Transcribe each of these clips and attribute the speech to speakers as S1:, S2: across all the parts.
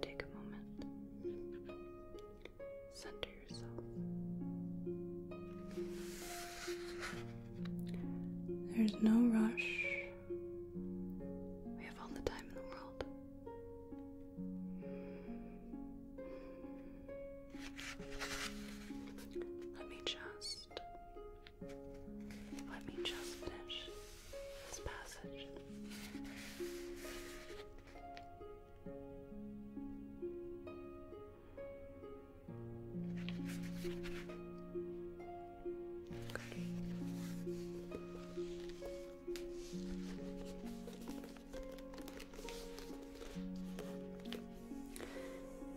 S1: Take a moment. Center yourself. There's no rush. We have all the time in the world. Let me just. Let me just finish this passage.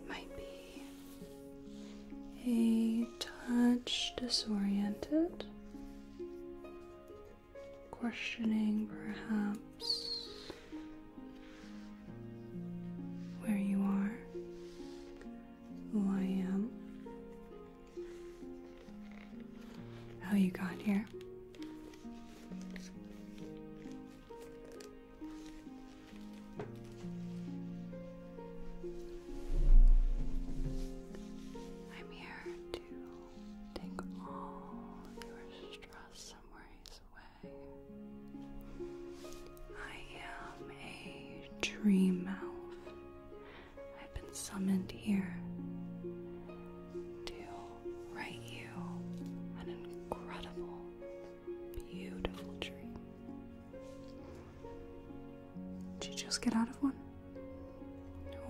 S1: Might be a touch disoriented, questioning perhaps where you are, who I am, how you got here. I'm here to take all your stress worries away. I am a dreamer. I've been summoned here to write you an incredible, beautiful dream. Did you just get out of one?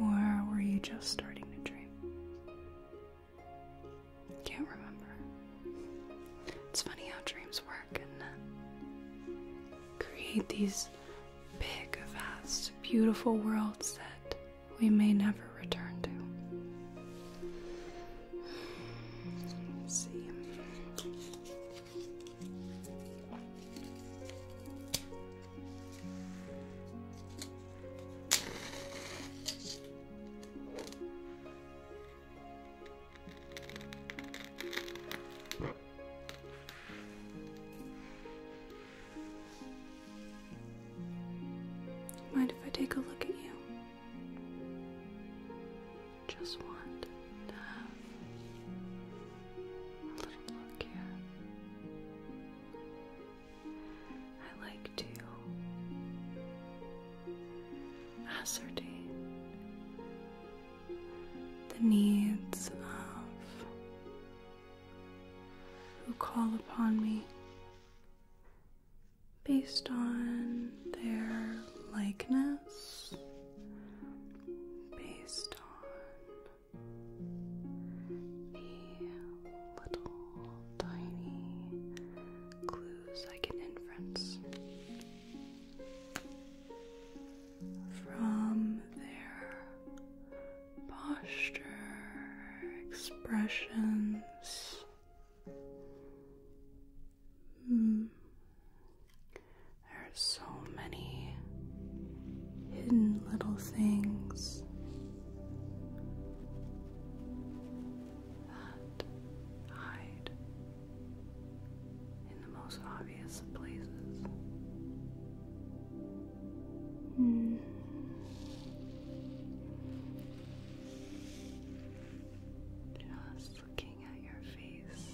S1: Or were you just starting to dream? can't remember. It's funny how dreams work and uh, create these big, vast, beautiful worlds that we may never return to. see. Mind if I take a look at you? Just want a little look here. I like to ascertain the needs of who call upon me based on their likeness, based on the little tiny clues I can infer from their posture, expressions. Hmm. There are so many hidden little things that hide in the most obvious places. Just looking at your face.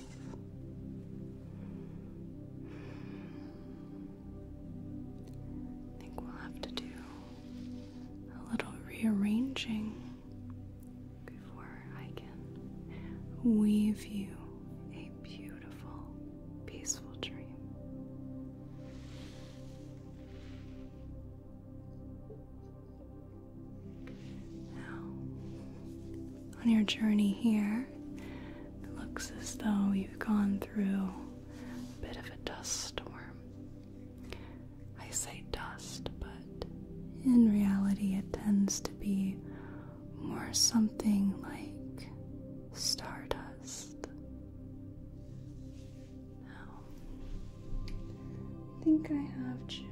S1: I think we'll have to do a little rearranging before I can weave you a beautiful, peaceful dream. Now, on your journey here, it looks as though you've gone through a bit of a dust storm. I say dust, but in reality it tends to be more something like stardust. I think I have just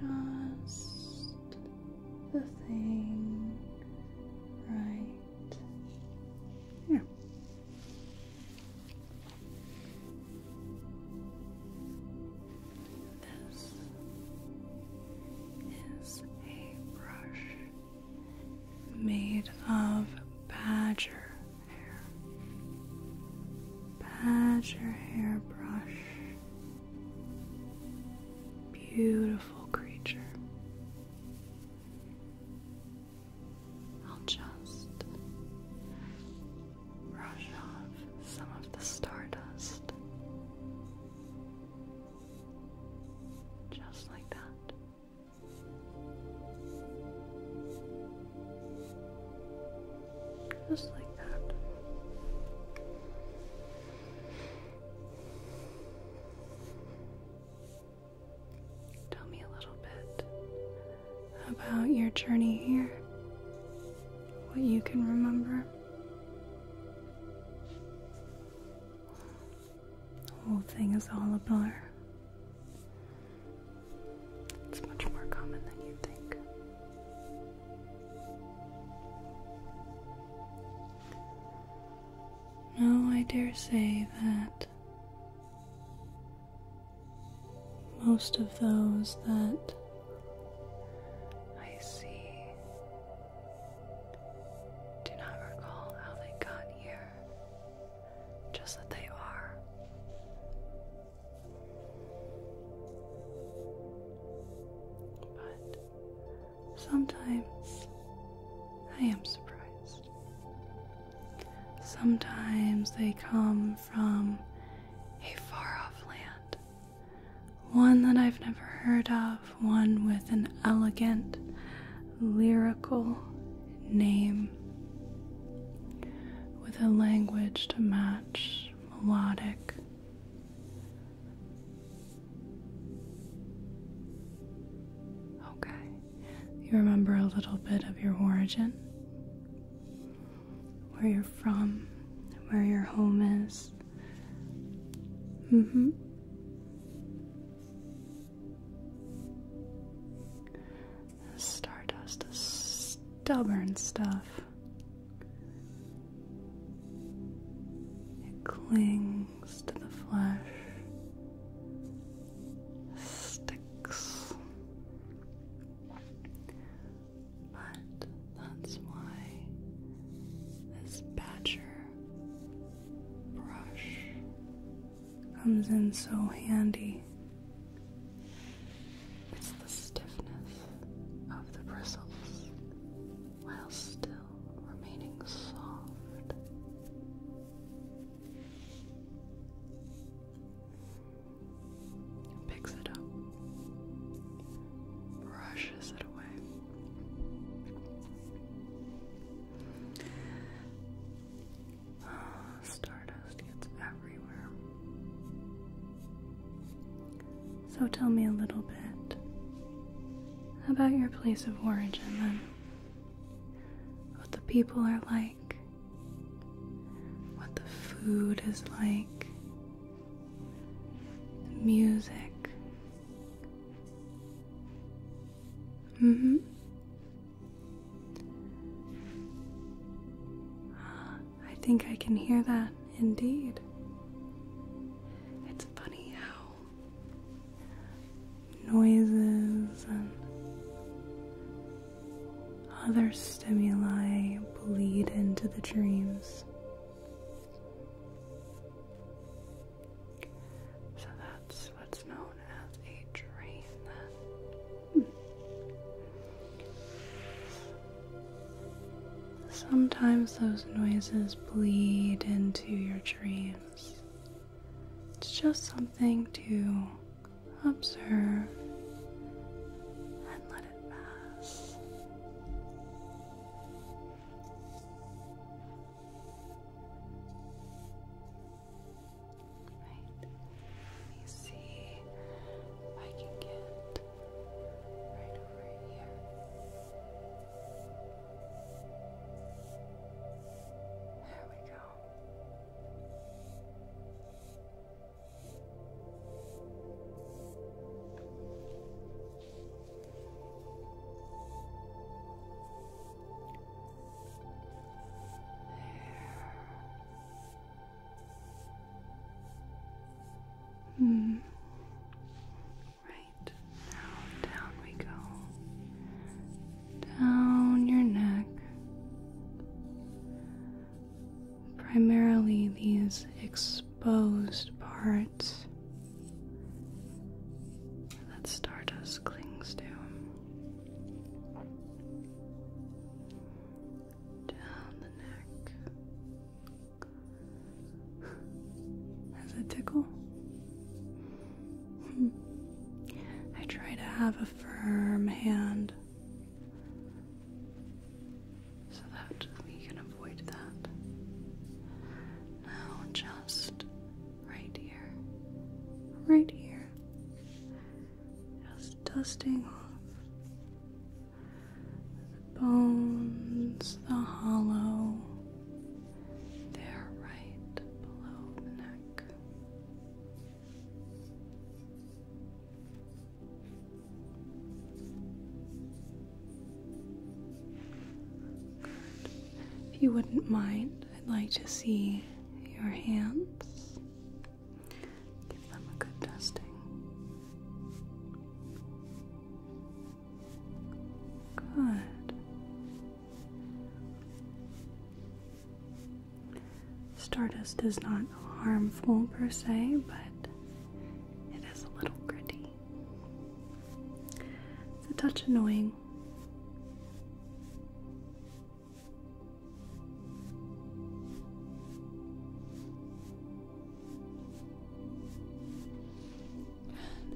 S1: the thing right here. This is a brush made of badger hair. Badger hair brush. Beautiful creature. I'll just brush off some of the stardust. Just like that. Just like that. Tell me a little bit about your journey here, what you can remember. The whole thing is all a blur. It's much more common than you think. No, I dare say that most of those that I see do not recall how they got here, just that they are. But sometimes I am surprised. Sometimes they come from a far off land one that I've never heard of, one with an elegant, lyrical name, with a language to match, melodic. Okay, you remember a little bit of your origin? where you're from, where your home is. Mm hmm. Stardust is stubborn stuff. It clings to the flesh, sticks, but that's why this badger brush comes in so handy. It's the stiffness of the bristles while still remaining soft and picks it up, brushes it away. stardust gets everywhere. So tell me a little bit about your place of origin then. what the people are like, what the food is like, the music. hmm I think I can hear that indeed. It's funny how noises and other stimuli bleed into the dreams. So that's what's known as a dream, then. Sometimes those noises bleed into your dreams. It's just something to observe and let it Right. Let me see if I can get right over here. There we go. Hmm. Right now, down we go. Down your neck primarily these exposed parts that stardust clings to. Down the neck. Does it tickle? Hmm. I try to have a firm hand so that we can avoid that. Now, just right here, right here, just dusting off bones, the hollow. They're right below the neck. If you wouldn't mind, I'd like to see your hands. Give them a good dusting. Good. Stardust is not harmful per se, but it is a little gritty. It's a touch annoying.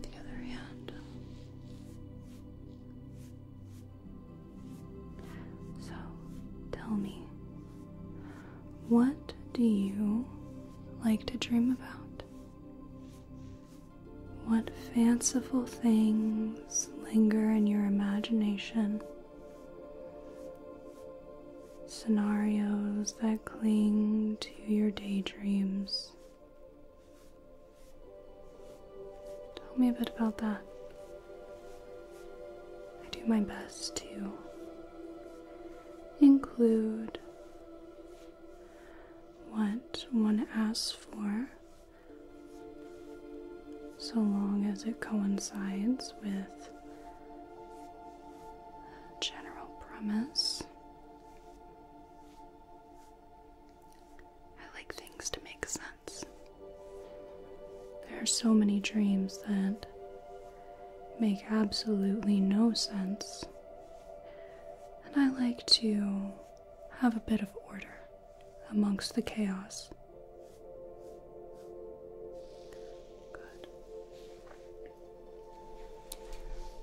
S1: the other hand. So, tell me, what do you like to dream about? What fanciful things linger in your imagination? Scenarios that cling to your daydreams. Tell me a bit about that. I do my best to include what one asks for so long as it coincides with a general promise. I like things to make sense. There are so many dreams that make absolutely no sense, and I like to have a bit of order amongst the chaos. Good.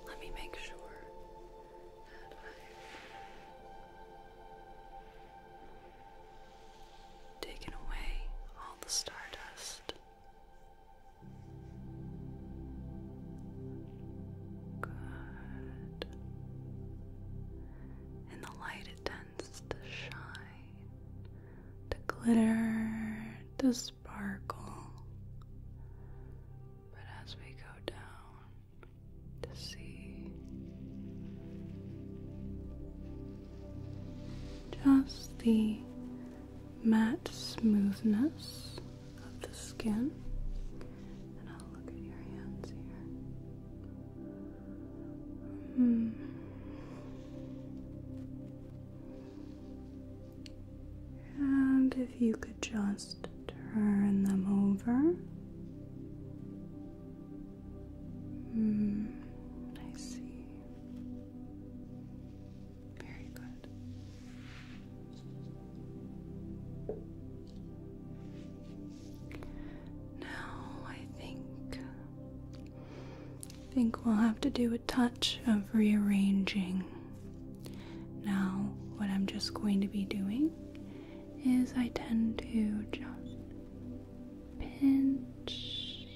S1: Let me make sure that I taken away all the stardust. Good. In the light, it tends to shine, to glitter, to sparkle. But as we go down to see, just the matte smoothness of the skin. And I'll look at your hands here. Hmm. And if you could just turn them over. Hmm, I see. Very good. Now I think think we'll have to do a touch of rearranging. Now what I'm just going to be doing is I tend to just pinch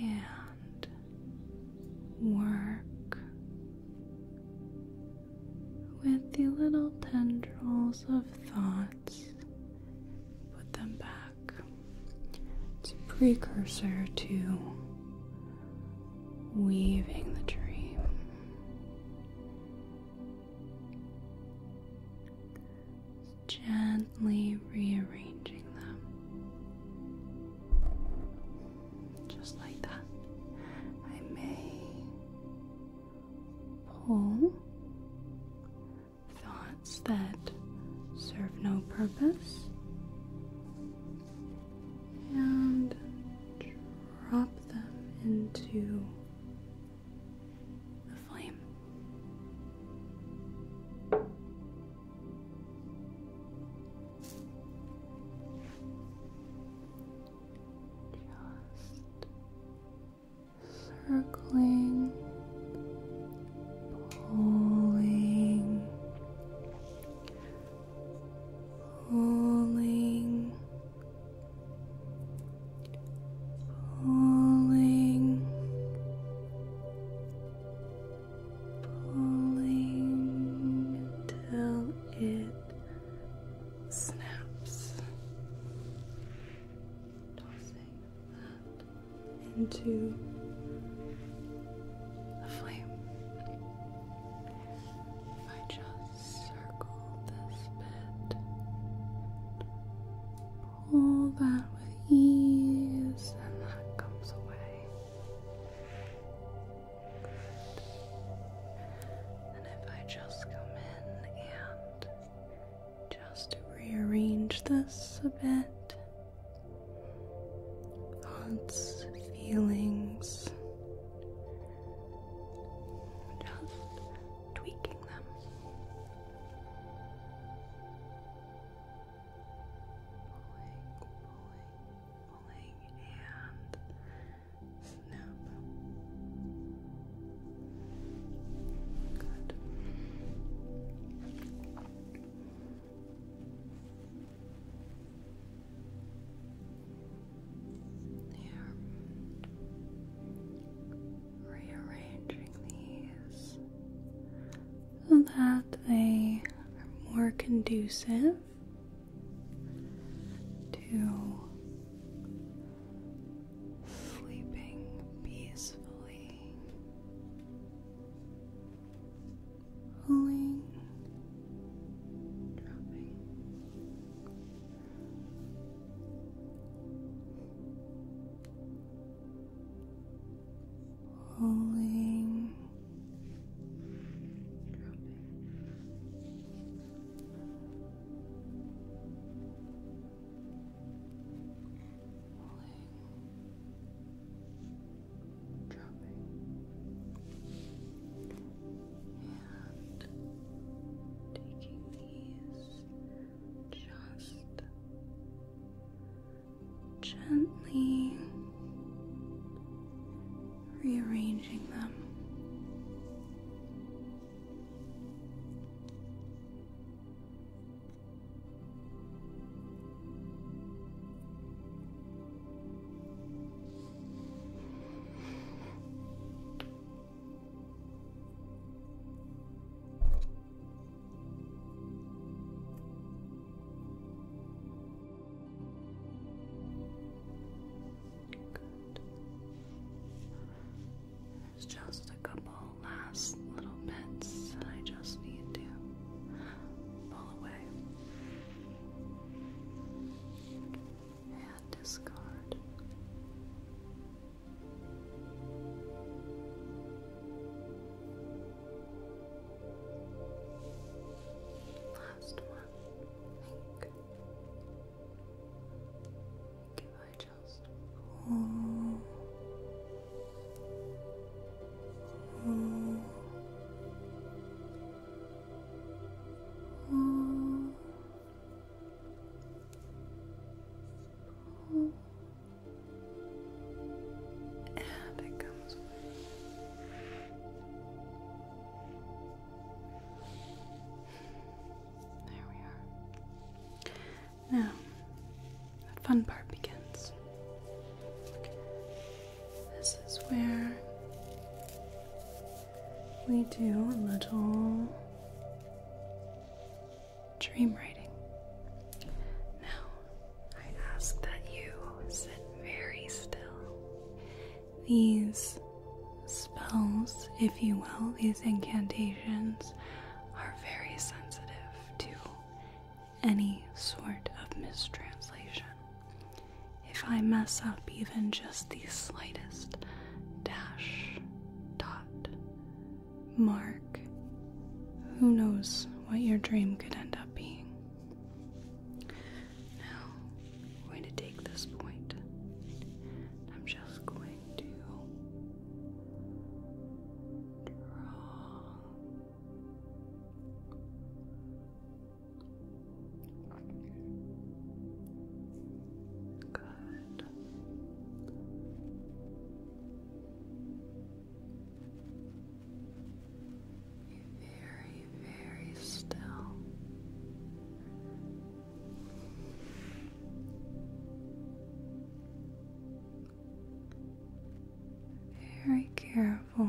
S1: and work with the little tendrils of thoughts. Put them back. It's a precursor to weaving the dream gently rearranging them. Just like that. I may pull thoughts that serve no purpose and drop them into the flame. Just circling, pulling, pulling, pulling, pulling until it snaps, tossing that into the flame. I just circle this bit all that with ease, and that comes away. And if I just come in and just rearrange this a bit, thoughts, feelings, just tweaking them. Pulling, pulling, pulling, and snap. Good. Here rearranging these so that they are more conducive to sleeping peacefully, pulling, dropping. Holding, dropping, dropping, and taking these just gently rearranging them. Good. There's just a couple last little bits that I just need to pull away and discard. Last one, I think. If I just oh, oh, oh. Oh and it comes There we are. Now, the fun part begins. This is where we do a little dream writing. Now, I ask that you sit very still. These spells, if you will, these incantations are very sensitive to any sort of mistranslation. If I mess up even just the slightest dash, dot, mark. Who knows what your dream could end up being? Now, I'm take this point. I'm just going to draw. Good very, very still. Very careful.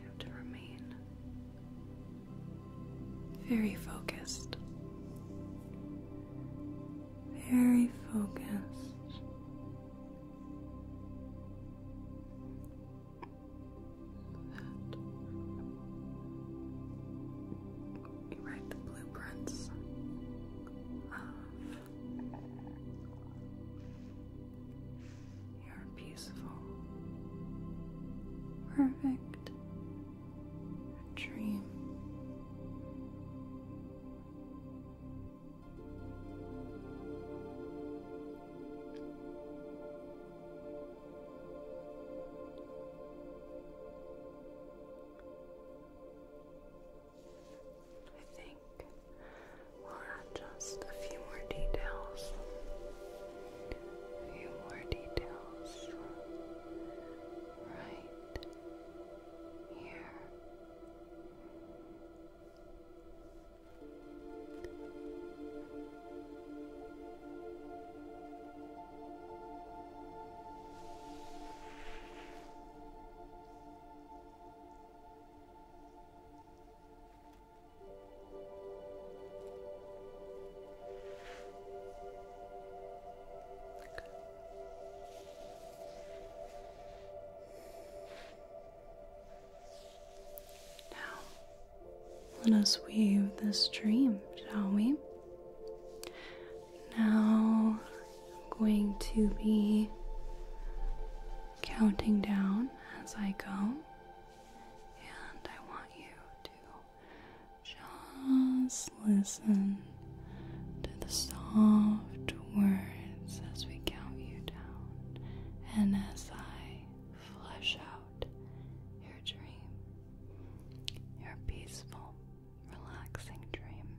S1: You have to remain very focused. Very focused. you write the blueprints you're beautiful, perfect, a dream. I think We'll add just a few more details. A few more details. Right here. Now, let us weave this dream, shall we? Now, I'm going to be counting down as I go and I want you to just listen to the soft words as we count you down and as I flesh out your dream, your peaceful, relaxing dream.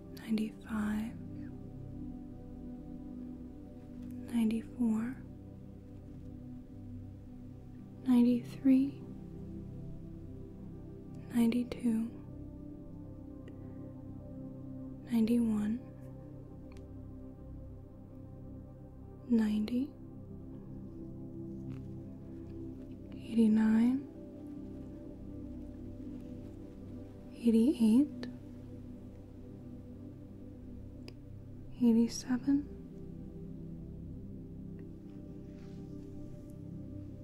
S1: 95 94 93 92 91 90 89 88 87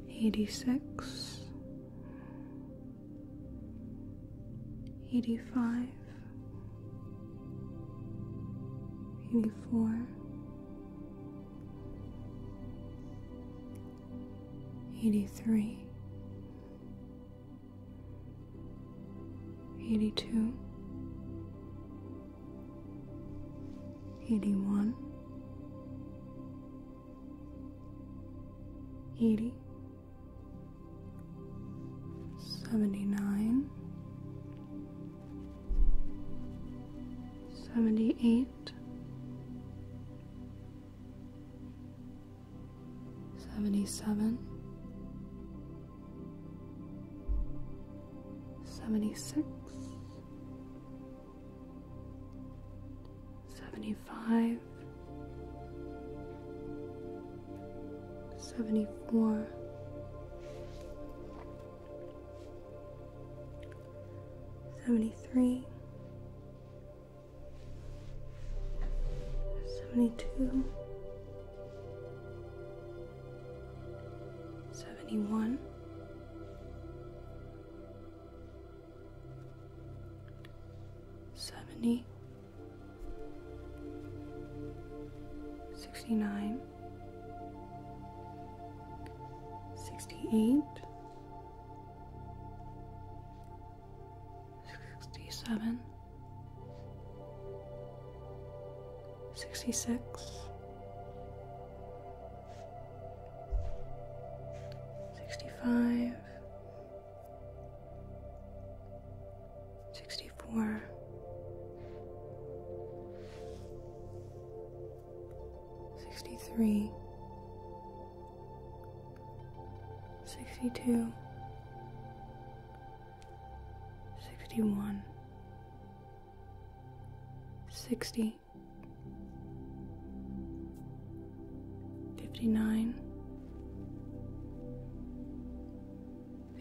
S1: 86 85 84 83 82 81 80 79 78 77 76 75 74 73 72 71 70 69 68 Sixty-seven. Sixty-six. Sixty-five. Sixty-four. Sixty-three. 62 61 60 59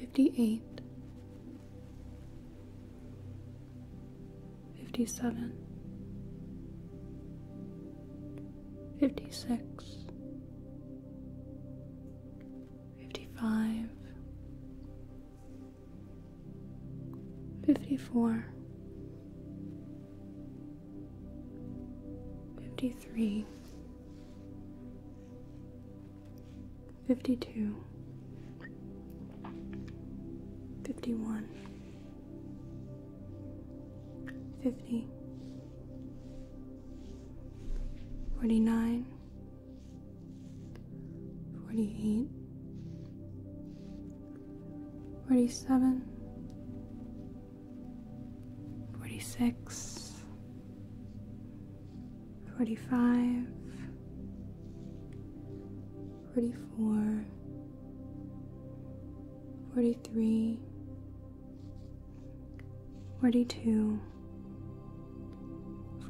S1: 58 57 Fifty six. Fifty five. Fifty four. Fifty three. Fifty two. Fifty one fifty, forty nine, forty eight, forty seven, forty six, forty five, forty four. 43 42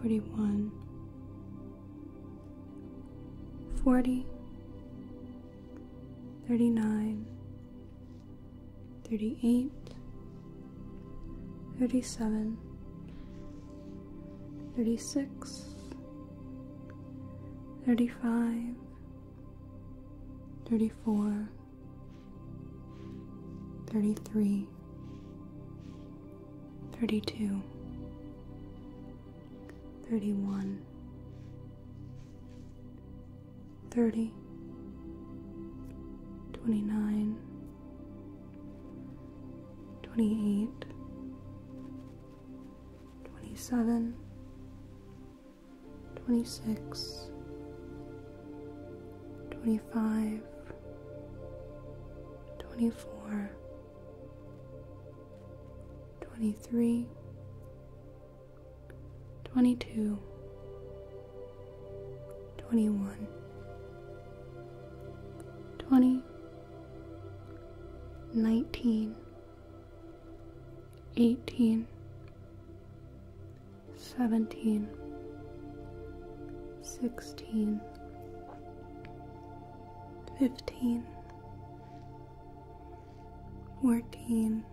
S1: 41 40 39 38 37 36 35 34 33 32 31 30 29 28 27 26 25 24 23 22 21 20 19 eighteen, seventeen, sixteen, fifteen, fourteen,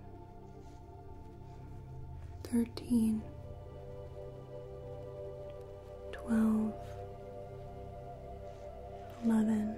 S1: thirteen, twelve, eleven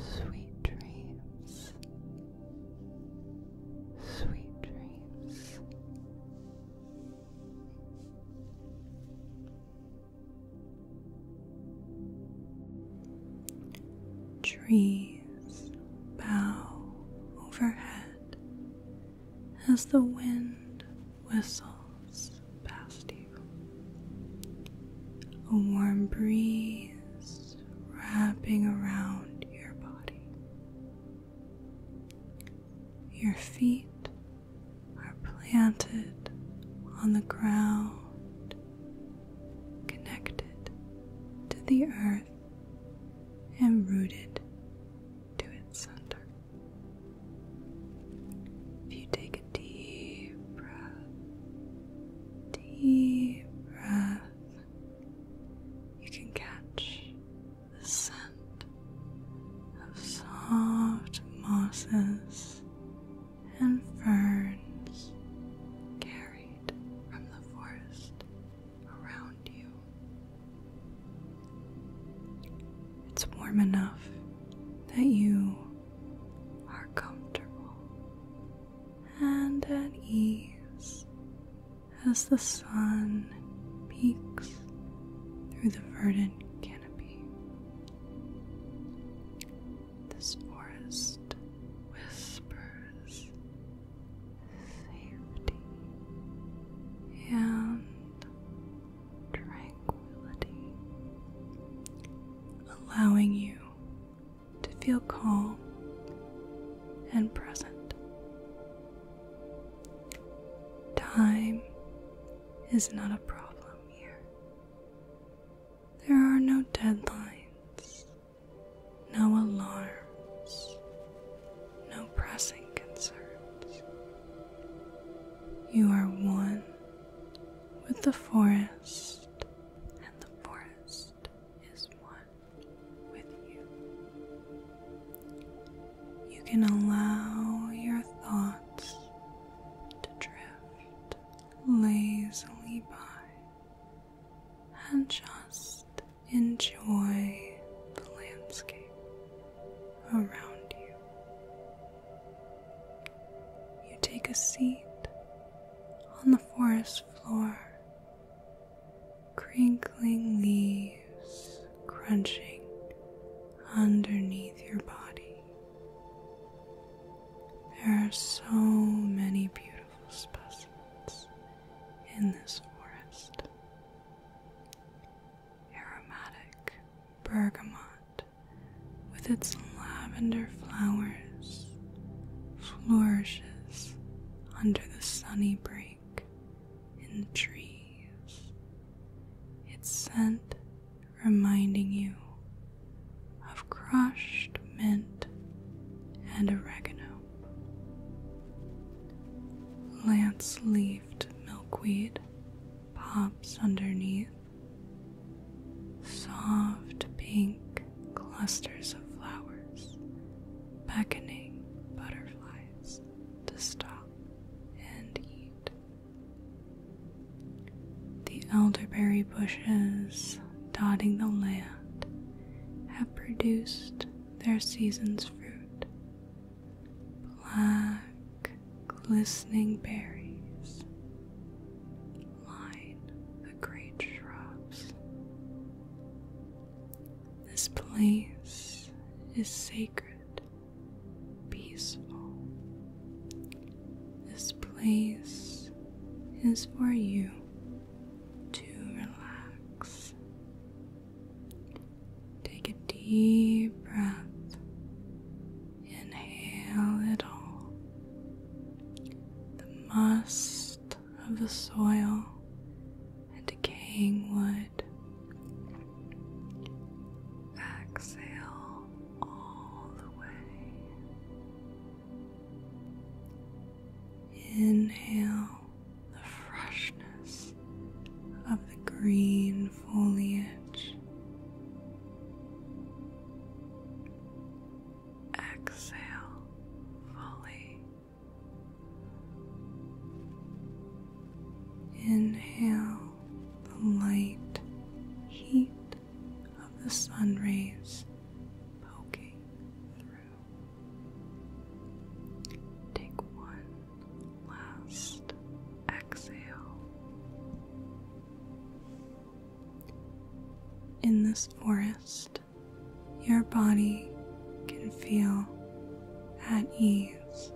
S1: Sweet dreams, sweet dreams. Dream trees bow overhead as the wind whistles past you. A warm breeze wrapping around your body. Your feet are planted on the ground connected to the earth and rooted to its center. If you take a deep breath, deep breath, you can catch the scent of soft mosses and ferns from the forest around you. It's warm enough that you are comfortable and at ease as the sun peeks through the verdant canopy. This forest whispers safety and tranquility, allowing you to feel calm and present. Time is not a problem here. There are no deadlines no alarms, no pressing concerns. You are one with the forest, and the forest is one with you. You can allow your thoughts to drift lazily by and just enjoy the landscape around you. You take a seat on the forest floor, crinkling leaves crunching underneath your body. There are so many beautiful specimens in this forest. Aromatic bergamot with its lavender flowers flourishes under the sunny break in the trees, its scent reminding you of crushed mint and oregano, lance leafed milkweed pops underneath, soft pink clusters of flowers beckoning butterflies to stop and eat. The elderberry bushes dotting the land have produced their season's fruit black, glistening berries line the great shrubs. This place is sacred, peaceful. This place is for you to relax. Take a deep breath, inhale it all. The must of the soil and decaying wood. Exhale all the way. Inhale the freshness of the green foliage. Exhale fully. Inhale the light heat of the sun rays poking through. Take one last exhale. In this forest, your body can feel at ease.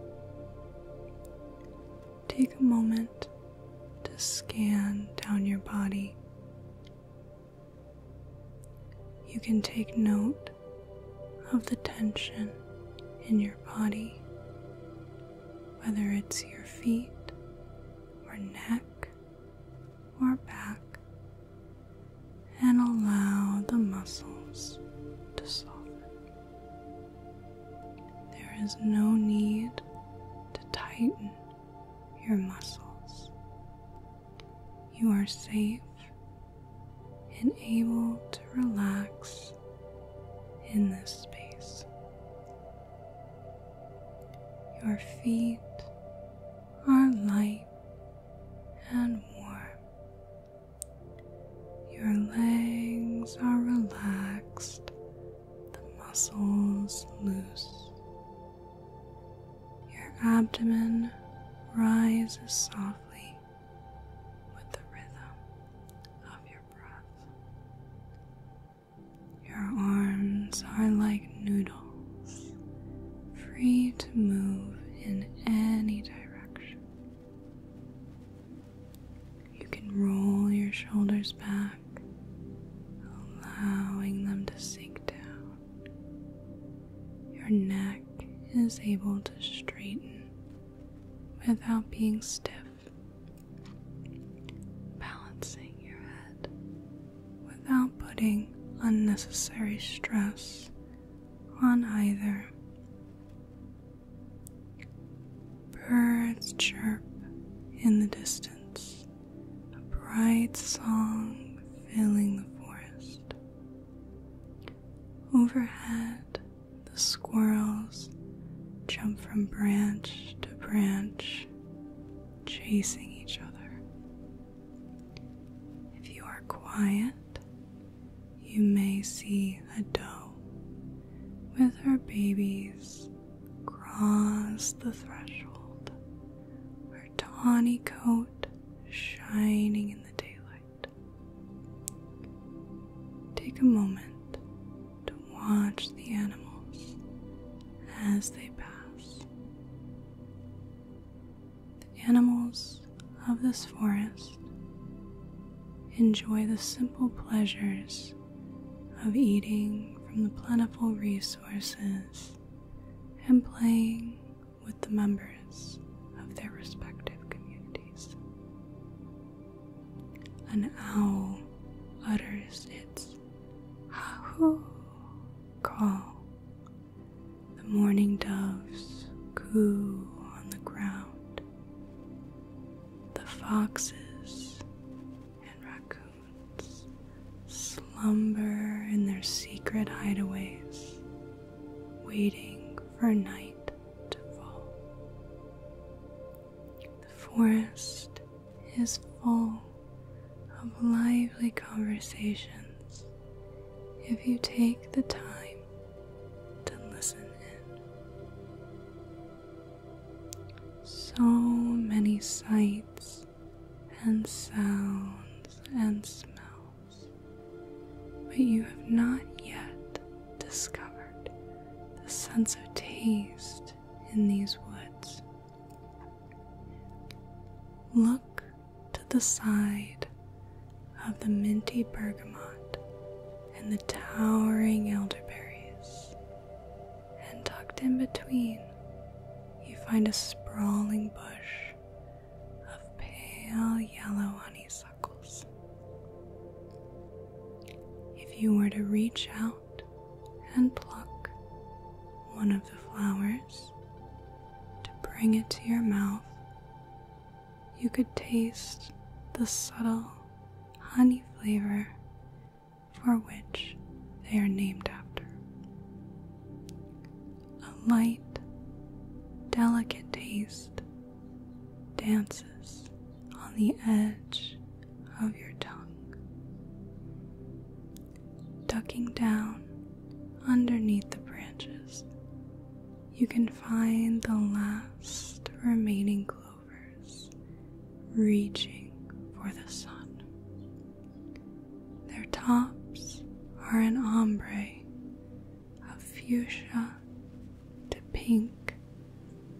S1: Take a moment to scan down your body you can take note of the tension in your body, whether it's your feet or neck or back, and allow the muscles to soften. There is no need to tighten your muscles. You are safe and able to relax in this space. Your feet are light and warm. Your legs are relaxed, the muscles loose. Your abdomen rises softly with the rhythm of your breath. Your arms are like noodles, free to move in any direction. You can roll your shoulders back allowing them to sink down. Your neck is able to straighten without being stiff, balancing your head without putting unnecessary stress on either. Birds chirp in the distance, a bright song filling the forest. Overhead, the squirrels jump from branch to branch, chasing each other. If you are quiet, you may see a doe with her babies cross the threshold tawny coat shining in the daylight. Take a moment to watch the animals as they pass. The animals of this forest enjoy the simple pleasures of eating from the plentiful resources and playing with the members of their respective communities. An owl utters its ha-hoo call. The morning doves coo on the ground. The foxes and raccoons slumber in their secret hideaways, waiting for night to fall. The forest is full of lively conversations if you take the time to listen in. So many sights and sounds and smells, but you have not yet discovered the sense of taste in these woods. Look to the side of the minty bergamot and the towering elderberries and tucked in between, you find a sprawling bush of pale yellow honeysuckles. If you were to reach out and pluck one of the flowers to bring it to your mouth, you could taste the subtle honey flavor for which they are named after. A light, delicate taste dances on the edge of your tongue, ducking down underneath the branches. You can find the last remaining clovers reaching for the sun. Their tops are an ombre of fuchsia to pink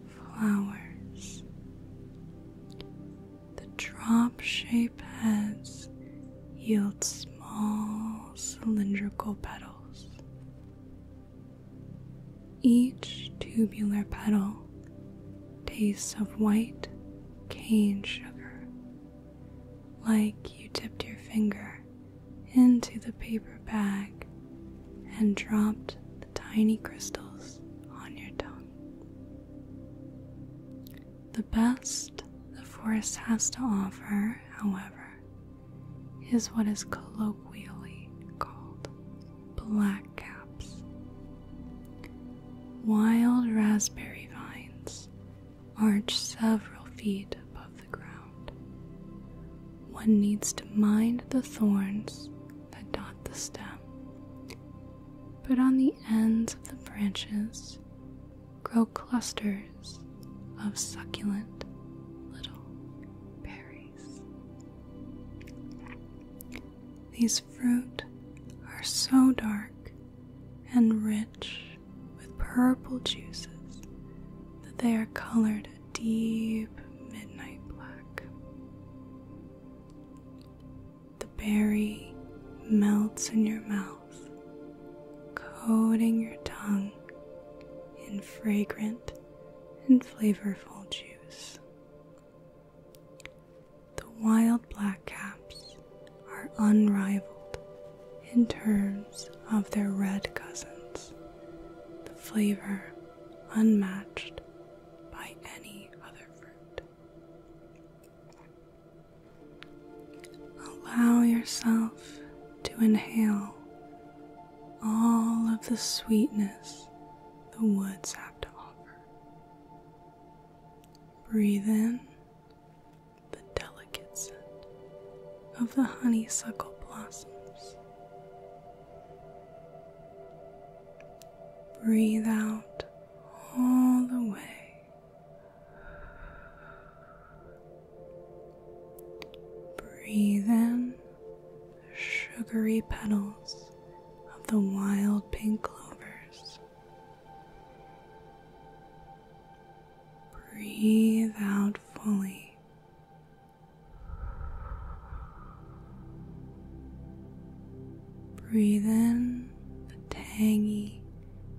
S1: flowers. The drop shaped heads yield small cylindrical petals. Each tubular petal taste of white cane sugar, like you dipped your finger into the paper bag and dropped the tiny crystals on your tongue. The best the forest has to offer, however, is what is colloquially called black caps. Wild raspberry vines arch several feet above the ground. One needs to mind the thorns that dot the stem, but on the ends of the branches grow clusters of succulent little berries. These fruit are so dark and rich with purple juices that they are colored a deep midnight black. The berry melts in your mouth, coating your tongue in fragrant and flavorful juice. The wild blackcaps are unrivaled in terms of their red cousins, the flavor unmatched by any other fruit. Allow yourself to inhale all of the sweetness the woods have to offer. Breathe in the delicate scent of the honeysuckle blossoms. Breathe out all the way. Breathe in the sugary petals of the wild pink clovers. Breathe out fully. Breathe in the tangy,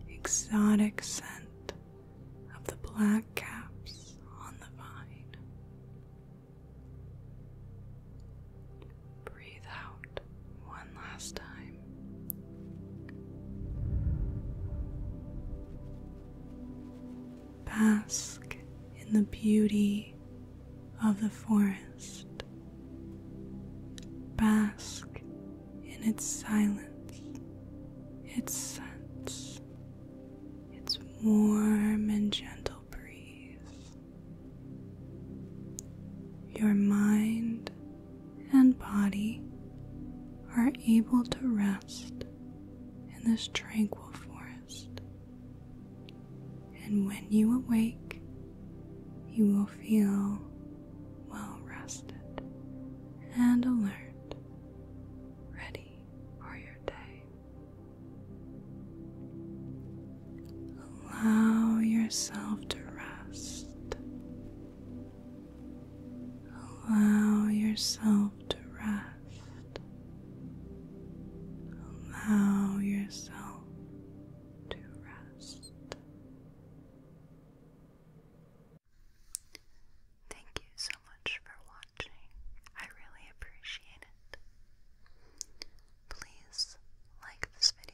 S1: exotic scent of the black caps on the vine. Breathe out one last time. Bask in the beauty of the forest. Bask in its silence, its scents, its warm and gentle breeze. Your mind and body are able to rest in this tranquil forest, and when you awake, you will feel well rested and alert, ready for your day. Allow yourself to rest. Allow yourself to rest. Allow yourself to rest. Thank you so much for watching. I really appreciate it. Please like this video